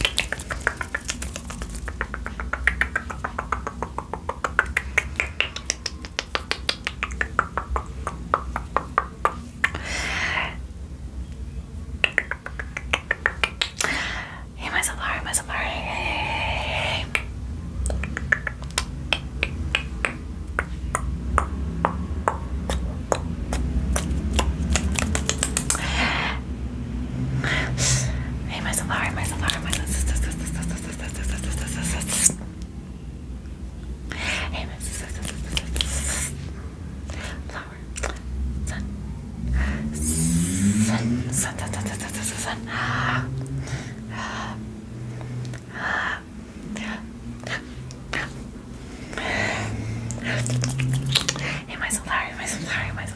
Hey, my Safari, my Safari. Hey, my supplier, my supplier, my Hey, my flower, sun, sun, sun, sun, sun, sun, sun, sun, sun. Am I so sorry? Am I so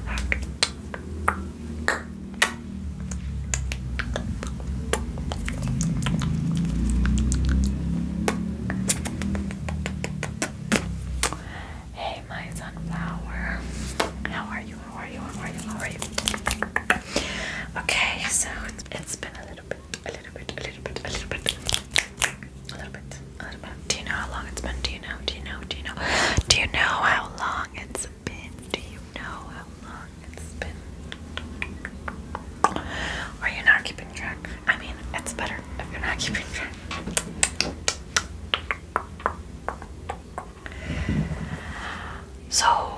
Hey, my sunflower. How are you? How are you? How are you? How are you? Okay, so it's been a little bit, a little bit, a little bit, a little bit, a little bit, a little bit. Do you know how long it's been? Do you know? Do you know? Do you know? Do you know how long it's been? Do you know how long it's been? Are you not keeping track? I mean, it's better if you're not keeping track. So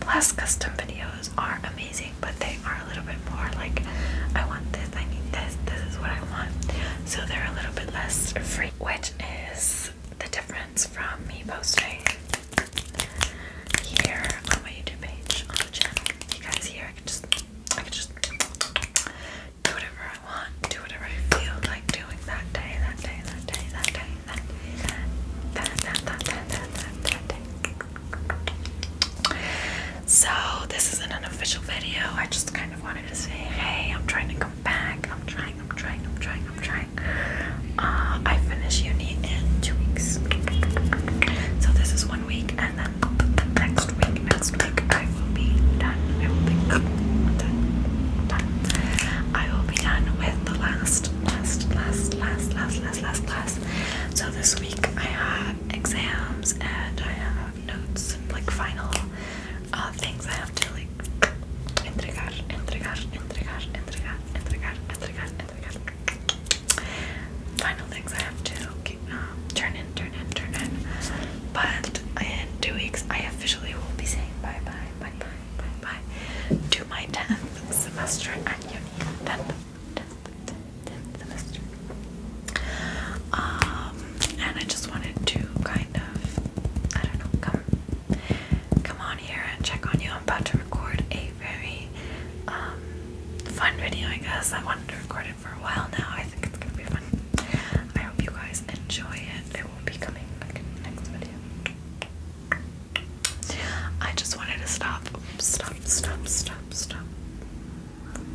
Plus, custom videos are amazing, but they are a little bit more like, I want this, I need this, this is what I want. So they're a little bit less free, which is the difference from me posting here on my YouTube page on the channel. You guys here, I can just, I can just do whatever I want, do whatever I feel like doing that day, that day, that day, that day. So, this isn't an official video. I just kind of wanted to say, hey, I'm trying to come back. I'm trying, I'm trying, I'm trying, I'm trying. Uh, I finish uni in two weeks. So, this is one week, and then next week, next week, I will be done. I will be done. done. I will be done with the last last, last, last, last, last, last class. So this week I have exams and I have notes and like final uh, things I have to like entregar, entregar, entregar, entregar, entregar, entregar, entregar. Final things I have to keep, um, turn in, turn in, turn in. But in two weeks I officially will be saying bye bye, bye bye bye, bye. To my 10th semester at uni. 10th, 10th, 10th semester. Um, and I just wanted to kind of, I don't know, come, come on here and check on you. I'm about to record a very um, fun video, I guess. I wanted to record it for a while now. I think it's gonna be fun. I hope you guys enjoy it will be coming back in next video. I just wanted to stop. Stop, stop, stop, stop.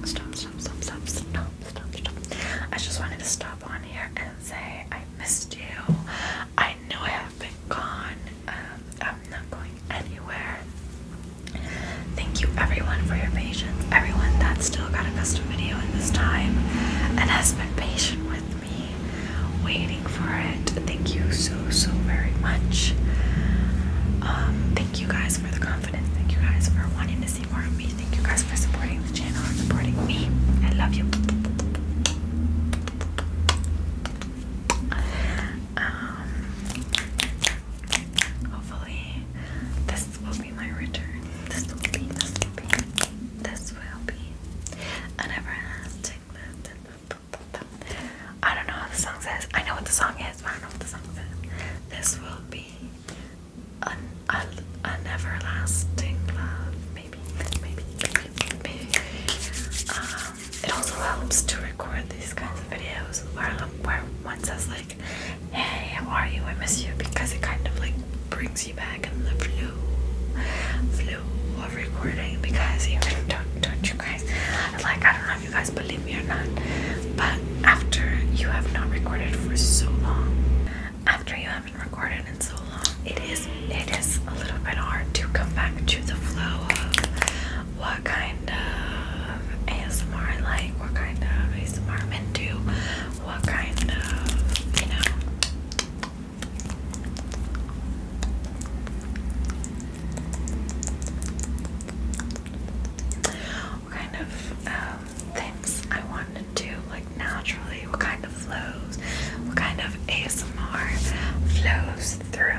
Stop, stop, stop, stop, stop, stop, stop. I just wanted to stop on here and say I missed you. I know I have been gone. Um, I'm not going anywhere. Thank you everyone for your patience. Everyone that still got a custom video in this time and has been patient with me, waiting for it. Thank you so, so very much. Um, thank you guys for the confidence. Thank you guys for wanting to see more of me. Thank you guys for supporting the channel and supporting me. I love you. Um, Hopefully, this will be my return. This will be, this will be, this will be. I never I don't know how the song says. I know what the song is, but I don't know what the song says. This will be an, an, an everlasting love. Maybe, maybe, maybe, maybe. Um, it also helps to record these kinds of videos where, where one says, like, hey, how are you? I miss you because it kind of like brings you back in the flow, flow of recording. Because don't, don't you guys like? I don't know if you guys believe me or not, but after you have not recorded for so long, after you haven't recorded in so long, it is it is a little bit hard to come back to the flow of. what what kind of ASMR I like, what kind of ASMR I'm what kind of, you know, kind of um, things I want to do, like naturally, what kind of flows, what kind of ASMR flows through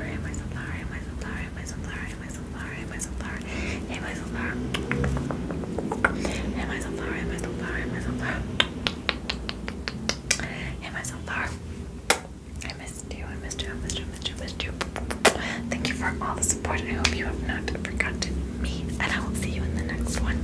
sunflower, hey my sunflower, hey my sunflower, hey my sunflower, hey my sunflower, hey my sunflower, hey my sunflower, hey my sunflower, hey my sunflower, hey my sunflower, hey my sunflower. I missed you, I missed you, I missed you, I missed you, I missed you. Thank you for all the support. I hope you have not forgotten me, and I will see you in the next one.